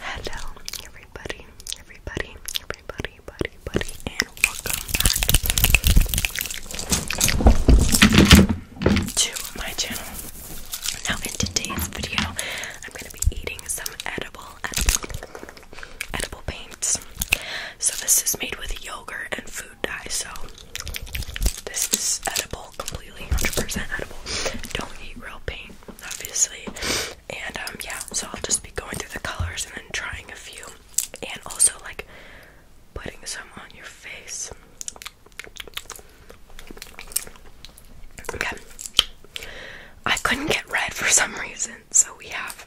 Hello, everybody, everybody, everybody, buddy, and welcome to my channel. Now, in today's video, I'm gonna be eating some edible, edible paints. So, this is made with yogurt and food dye. So, this is edible, completely 100% edible. Don't eat real paint obviously. And um, yeah, so I'll just be going through the colors and then trying a few, and also like putting some on your face. Okay. I couldn't get red for some reason, so we have.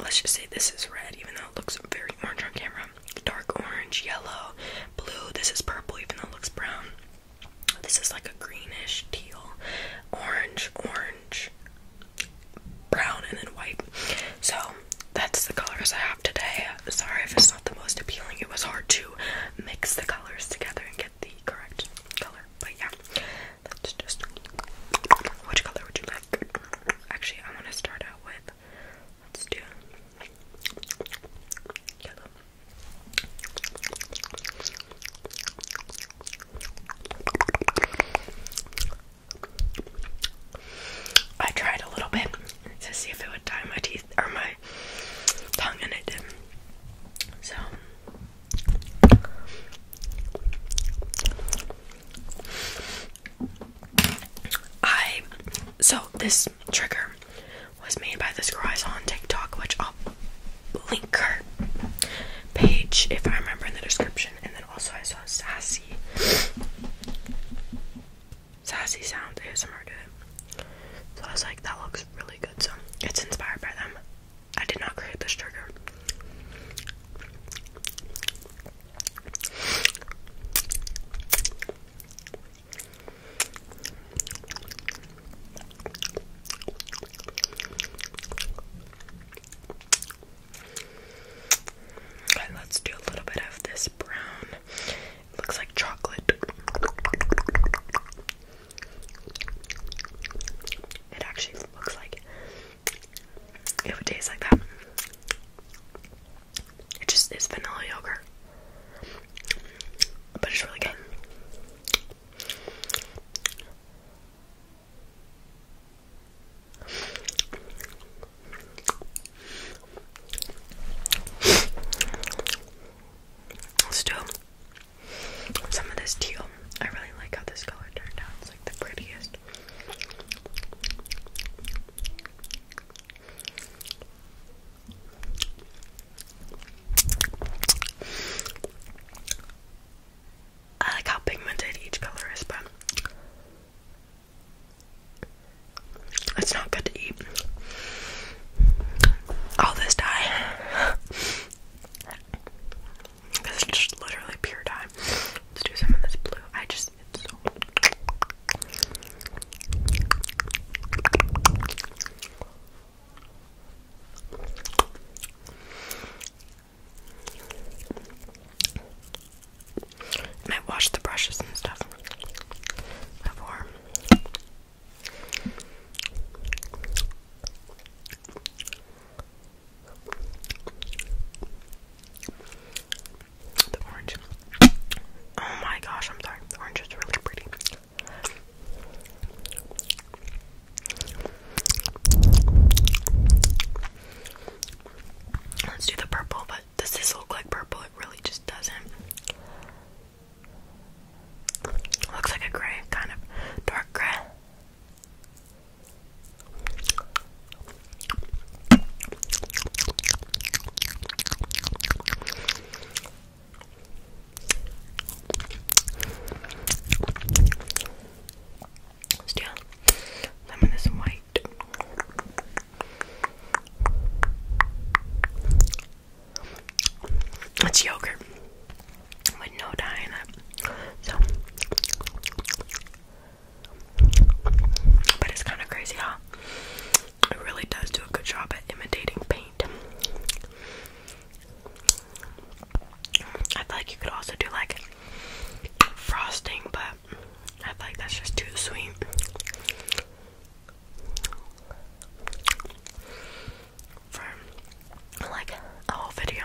Let's just say this is red, even though it looks very orange on camera. Dark orange, yellow, blue. This is purple, even though it looks brown. This is like a greenish teal, orange, orange, brown, and then white. So that's the colors I have today. Sorry if it's not the most appealing. It was hard to mix the colors together and get the correct color. But yeah, that's just. Which color would you like? Actually, I want to start out with. Let's do yellow. I tried a little bit to see if it would dye my teeth or my tongue, and it did So, I so this trigger was made by this girl I saw on TikTok, which I'll link her page if I remember in the description. And then also I saw Sassy. Sassy Sound ASMR did it. So I was like, that looks really good. So it's inspired by them. I did not create this trigger let's do a little bit of this brown. It looks like chocolate. It actually looks like it tastes like that. It just is vanilla yogurt but it's really good. let some of this teal. I really like how this color turned out. It's like the prettiest. I like how pigmented each color is, but it's not good to eat. All this dye. This is just literally pure dye. Let's do some of this blue. I just, it's so. Might wash the brushes and stuff before. The orange. Oh my gosh, I'm sorry. The orange is really pretty. Let's do the purple, but does this look like purple? It really just doesn't. looks like a gray, kind of dark gray. Still, lemon is white. It's yogurt with no dye in it. So, but it's kind of crazy how it really does do a good job at imitating paint. I feel like you could also do like frosting, but I feel like that's just too sweet. For like a whole video.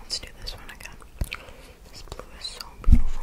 Let's do this one again. This blue is so beautiful.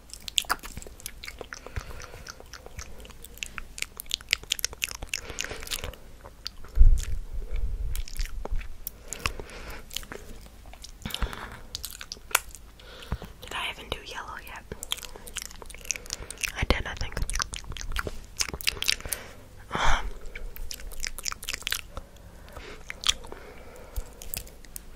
Did I even do yellow yet? I did, I think. Um,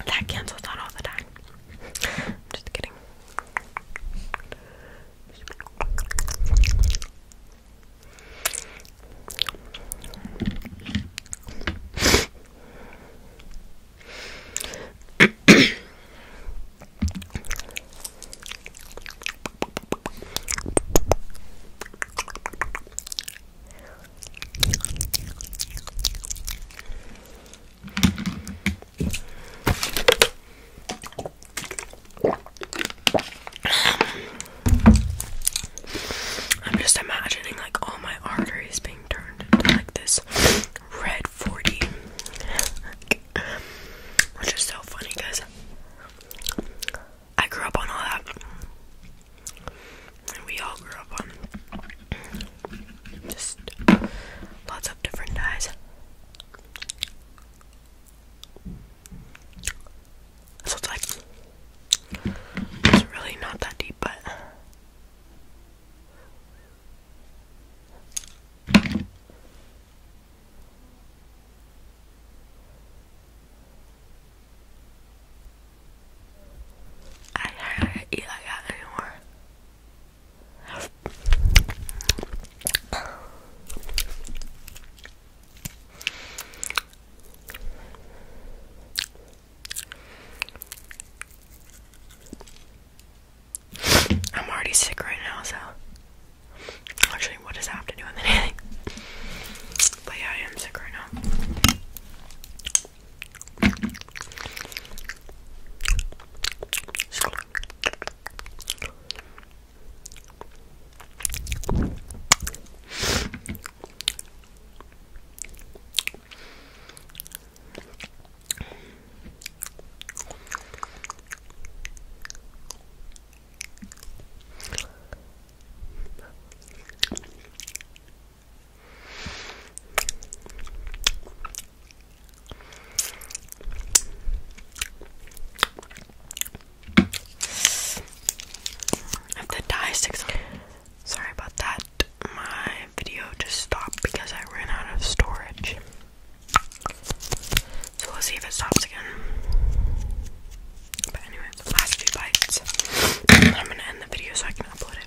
That cancels out all the time. just kidding. I'm just imagining like all my arteries being turned into like this red 40 which is so funny because I grew up on all that, and we all grew up on just lots of different dyes. So it's like it's really not that deep, but. I don't eat that anymore. I'm already sick right now, so actually, what does I have to do with anything? But yeah, I am sick right now. If the dye sticks sorry about that. My video just stopped because I ran out of storage. So we'll see if it stops again. But anyway, last few bites. I'm gonna end the video so I can upload it.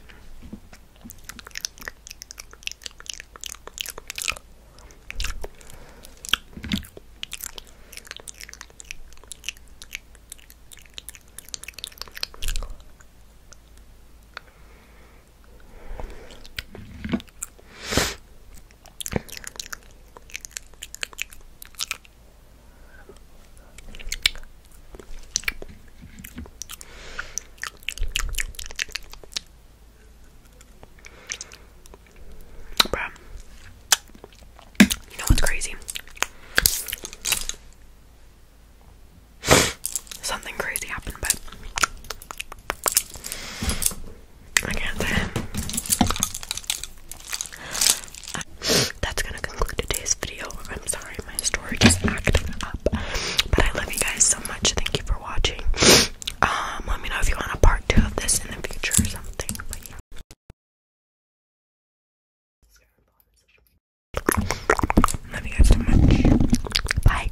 Bruh. You know what's crazy? Something crazy happened, but I can't say. That's gonna conclude today's video. I'm sorry, my storage is acting up, but I love you guys so much. Thank you for watching. Um, let me know if you want a part two of this in the future or something. Love you guys so much. Bye.